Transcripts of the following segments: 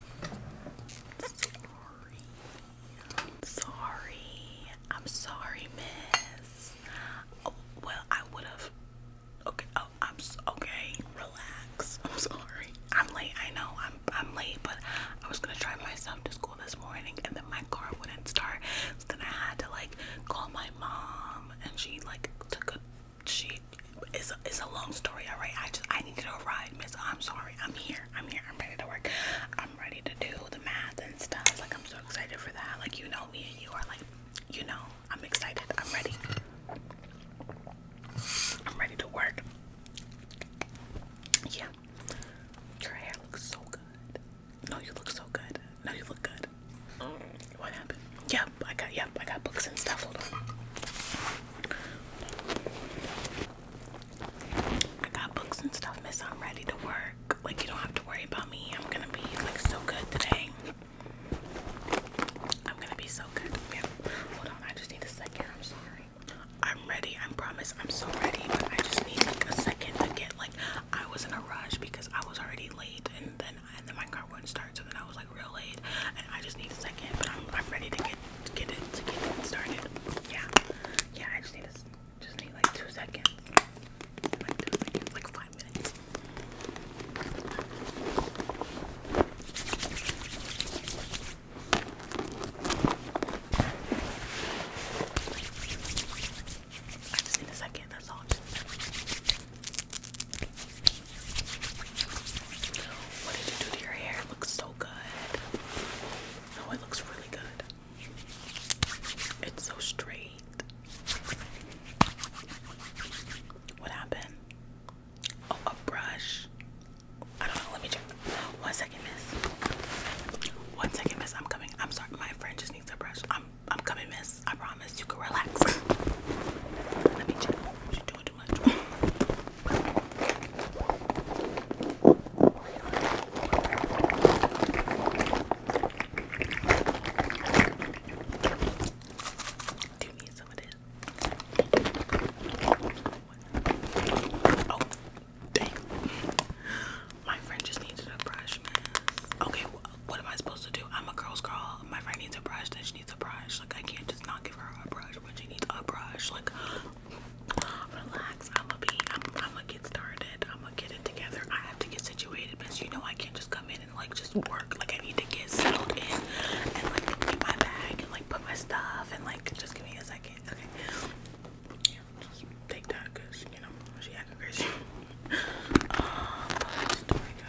Sorry. I'm sorry. I'm sorry, miss. Oh, well, I would have. Okay. Oh, I'm so, okay. Relax. I'm sorry. I'm late. I know. I'm I'm late, but I was gonna drive myself to school this morning, and then my car wouldn't start. So then I had to like call my mom, and she like took a she it's a, it's a long story, all right. I just I needed a ride, Miss. I'm sorry. I'm here. I'm here. I'm ready to work. I'm ready to do the math and stuff. Like I'm so excited for that. Like you know me and you are like, you know, I'm excited. I'm ready. I'm ready to work. Yeah. Your hair looks so good. No, you look so good. No, you look good. Mm. What happened? Yep, I got yep, I got books and stuff. Hold on. I got books and stuff, miss. I'm ready to work. Like, you don't have to worry about me. I'm gonna be like so good today. I'm gonna be so good. Yeah. Hold on, I just need a second. I'm sorry. I'm ready. I promise I'm so ready, but I just need like a second to get like I was in a rush because I was already late and then and then my car wouldn't start. So then I was like real late and I just need a second but I'm, ready to get get it started yeah yeah I just need just need like two seconds like five minutes just need a second that's all what did you do to your hair? It looks so good. No, it looks really good. It's so straight. What happened? Oh, a brush. I don't know. Let me check. One second, miss. One second, miss. I'm coming. I'm sorry. My friend just needs a brush. I'm I'm coming, miss. I promise. You can relax. Let me check. What you doing? Do you some of this? Oh, dang. My friend just needed a brush, man. Okay, what am I supposed to do? I'm a girl's girl. My friend needs a brush she needs a brush. Like I can't just not give her a brush when she needs a brush. Like relax. I'ma be i am going to get started. I'ma get it together. I have to get situated because you know I can't just come in and like just work. Like I need to get settled in and like get my bag and like put my stuff and like just give me a second. Okay. just take that because you know she acting crazy. Um, story go.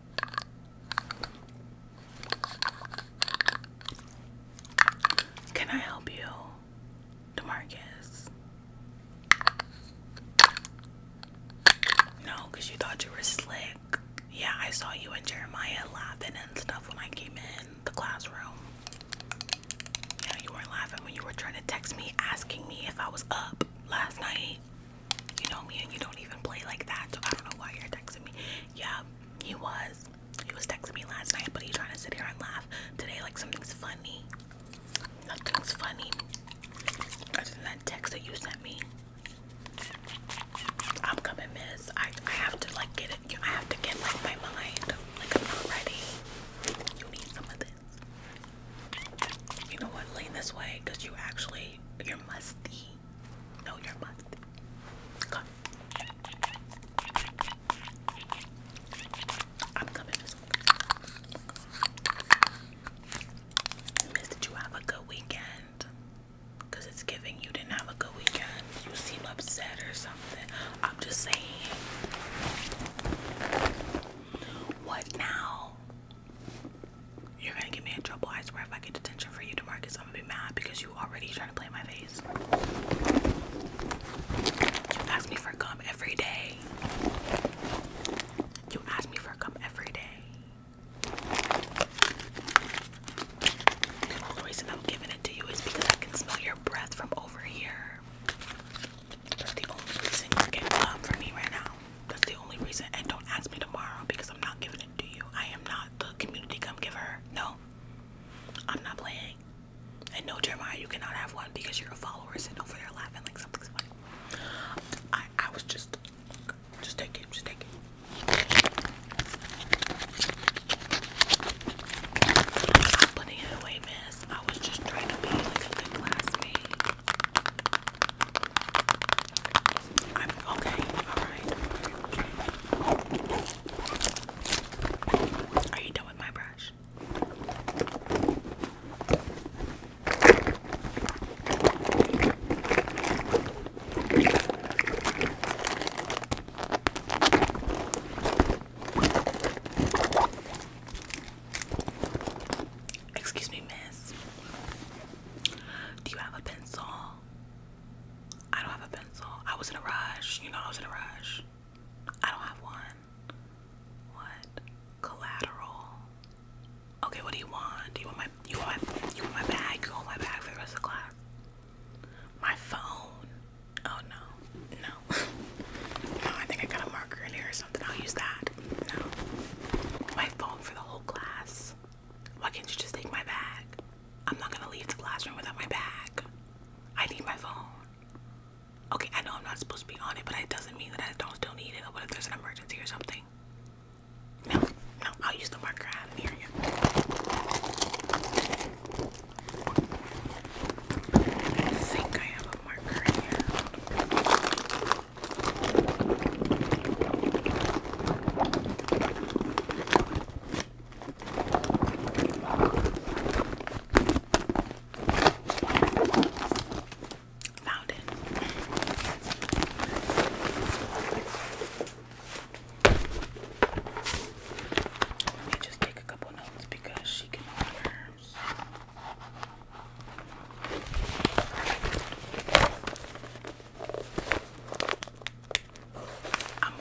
Can I help you, Demarcus? No, you thought you were slick. Yeah, I saw you and Jeremiah laughing and stuff when I came in the classroom. Yeah, you weren't laughing when you were trying to text me asking me if I was up last night. You know me and you don't even play like that, so I don't know why you're texting me. Yeah, he was. He was texting me last night, but he trying to sit here and laugh today like something's funny. Nothing's funny. Other than that text that you sent me. I'm coming, miss. I, I have to like get it. I have to get like my mind. Like I'm not ready. You need some of this. You know what? Lean this way, cause you actually you're musty me. No, you're did you have a good weekend? Cause it's giving you didn't have a good weekend. You seem upset or something. I'm just saying. What now? You're gonna get me in trouble. I swear if I get detention for you, DeMarcus, I'm gonna be mad because you already trying to play my face. You ask me for gum every day. You ask me for gum every day. The only reason I'm giving it to you is because I can smell your breath from over here. That's the only reason you gum from me right now. That's the only reason. And don't ask me tomorrow because I'm not giving it to you. I am not the community come giver. No, I'm not playing. And no, Jeremiah, you cannot have one because you're a follower, sitting over there laughing like something's funny. I, I was just, just take it, just take it. putting it away, miss. I was just trying to be like a good classmate okay, alright. Are you done with my brush? Excuse me, miss. Do you have a pencil? I don't have a pencil. I was in a rush. You know, I was in a rush. I don't have one. What? Collateral. Okay, what do you want? Do you want my you want my you want my bag? You want my bag for the rest of the class? My phone. Oh no. No. no, I think I got a marker in here I'll use that. No. My phone for the whole class. Why can't you just take my bag? I'm not gonna leave the classroom without my bag. I need my phone. Okay, I know I'm not supposed to be on it, but it doesn't mean that I don't still need it. What if there's an emergency or something? No, no, I'll use the marker I have near you. I think I have a marker here. Found it. Let me just take a couple notes because she can order. I'm,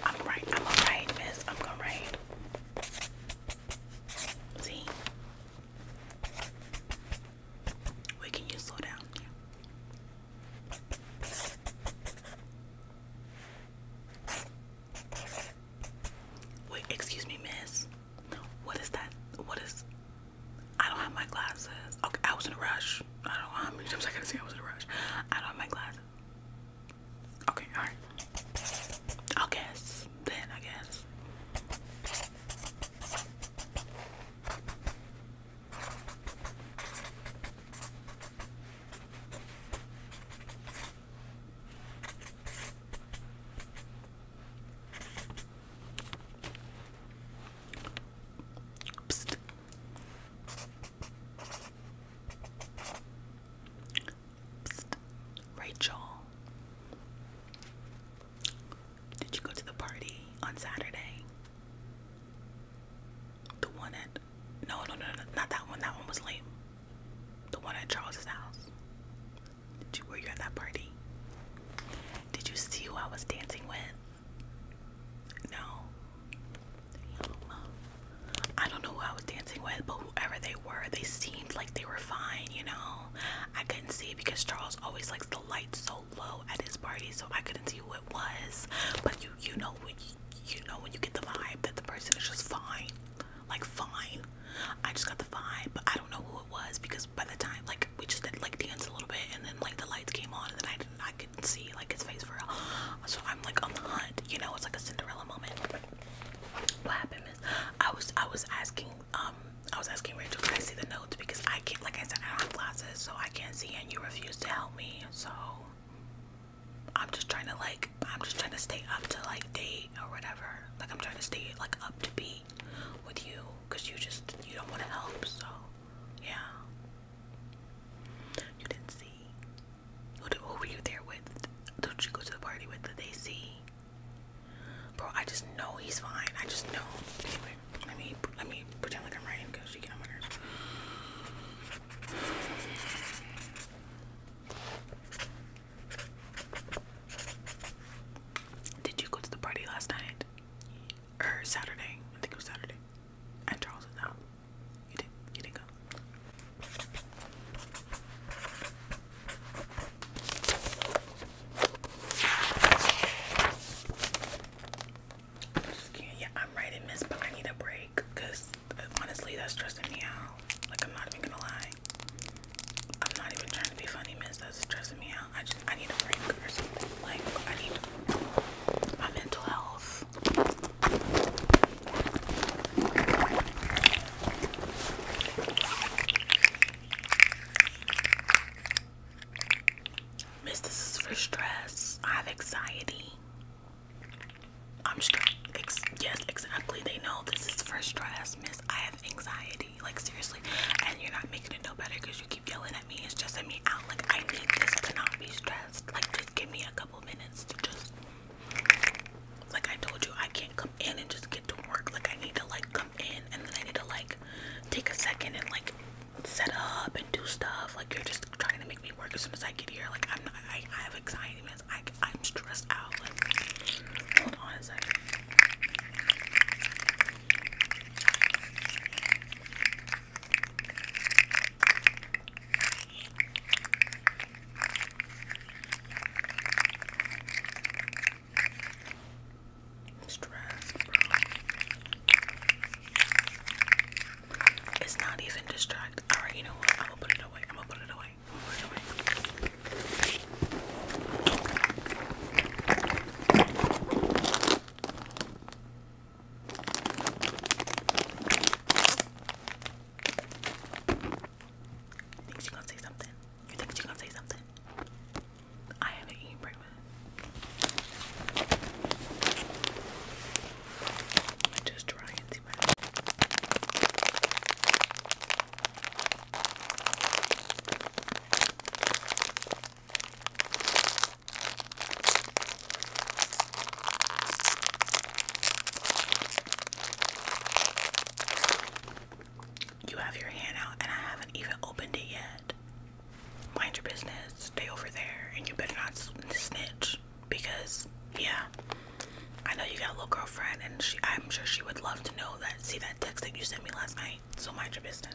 i I'm all right, miss. I'm going See? Wait, can you slow down? Wait, excuse me, miss. What is that? What is I don't have my glasses. Okay, I was in a rush. I don't know how many times I gotta say I was in a rush. I don't have my glasses. Okay, alright. I'll guess. Then, I guess. Rachel, did you go to the party on Saturday? The one at no, no, no, no, not that one. That one was lame. The one at Charles's house. You, were you at that party? Did you see who I was dancing with? No. I don't know who I was dancing with, but whoever they were, they seemed like they were fine, you know? I couldn't see because Charles always likes the lights so low at his party, so I couldn't see who it was. But you you know when you, you know when you get the vibe that the person is just fine. Like fine. I just got the vibe, but I don't know who was because by the time like we just did like dance a little bit and then like the lights came on and then I didn't I couldn't see like his face for real. So I'm like on the hunt, you know, it's like a Cinderella moment. What happened is I was I was asking um I was asking Rachel can I see the notes because I can't like I said I don't have glasses so I can't see and you refuse to help me so I'm just trying to like I'm just trying to stay up to like date or whatever. Like I'm trying to stay like up to be with you because you just you don't want to help so yeah you didn't see who, who were you there with do you go to the party with did they see bro i just know he's fine i just know let me let me pretend like i'm writing because you get on my did you go to the party last night? Or Saturday? I think it was Saturday. And Charles was out. You did. You didn't go. Yeah, I'm writing this, but I need a break because uh, honestly, that's stressing me out. Like I'm not even gonna lie. I'm not even trying to be funny, miss. That's stressing me out. I just I need a break or something. Like I need my mental health. Miss, this is for stress. I have anxiety. I'm just Ex yes, exactly. They know this is for stress, miss. I have anxiety like seriously and you're not making it no better because you keep yelling at me it's stressing me out like i need this to not be stressed like just give me a couple minutes to just like i told you i can't come in and just get to work like i need to like come in and then i need to like take a second and like set up and do stuff like you're just trying to make me work as soon as i get here like i'm not i, have anxiety minutes I, i'm stressed out like hold on a second Stress, It's not even distract. Alright, you know what? I'm gonna put it away. I'm gonna put it away. put it away. Think she gonna say something? You think she gonna say something? I haven't eaten breakfast. I'm just trying to see my you have your hand out, and I haven't even opened it yet. Mind your business, stay over there, and you better not snitch because, yeah, I know you got a little girlfriend, and she, I'm sure she would love to know that see that text that you sent me last night, so mind your business.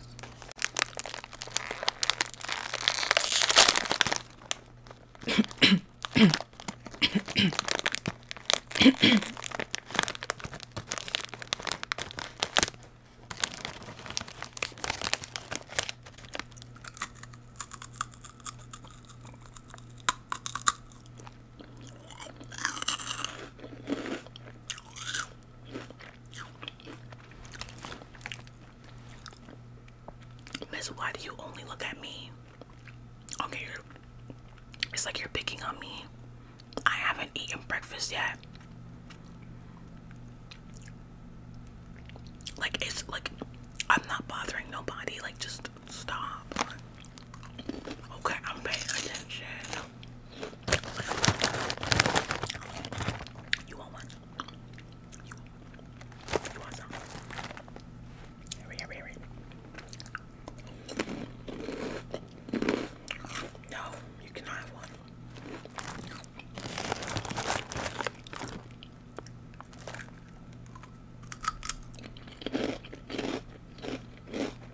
Miss, why do you only look at me? Okay, you're, it's like you're picking on me. I haven't eaten breakfast yet. Like, it's like I'm not bothering nobody. Like, just stop. Okay, I'm paying attention. You want one? You, want some? Hurry, hurry, hurry. No, you cannot have one.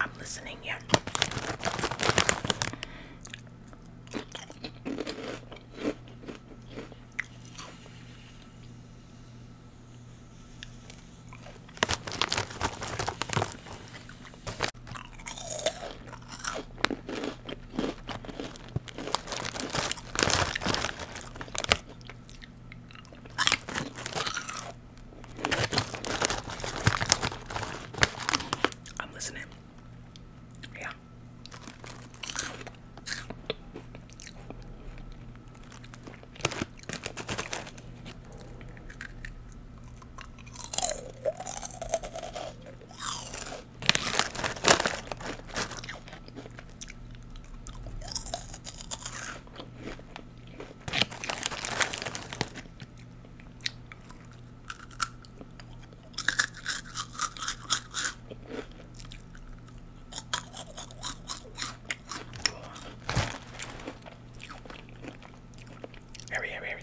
I'm listening, yeah. I'm listening. Yeah. Hurry, hurry, hurry.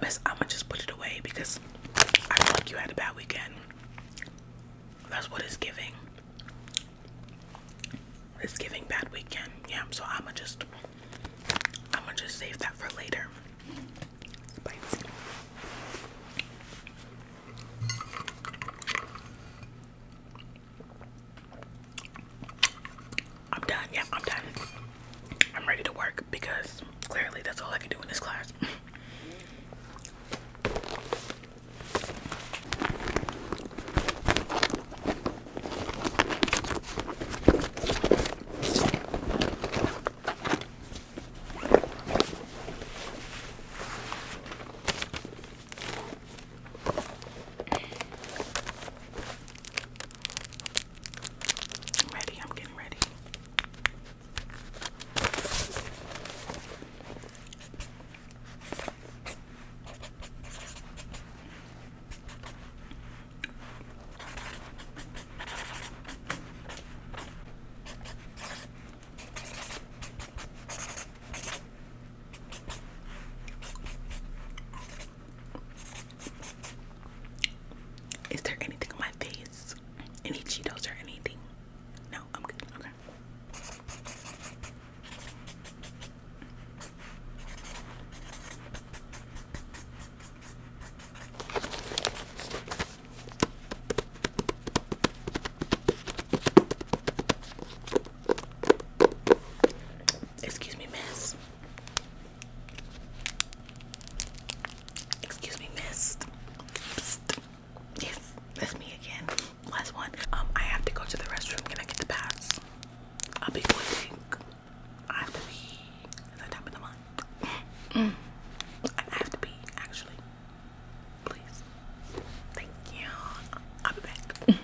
Miss, I'ma just put it away because I feel like you had a bad weekend. That's what it's giving. It's giving bad weekend. Yeah, so I'ma just I'ma just save that for later. I'm done. Yeah, I'm done. I'm ready to work because clearly that's all I can do in this class. I'm ready, I'm getting ready. Is there anything on my face? Any Cheetos or anything? No, I'm good. Okay. Excuse me, miss. Excuse me, miss. Yes, that's me again. Last one. Um, I have to go to the restroom. Can I get the pass? I'll be quick. I have to pee. It's the top of the month. I have to pee, actually. Please. Thank you. I'll be back.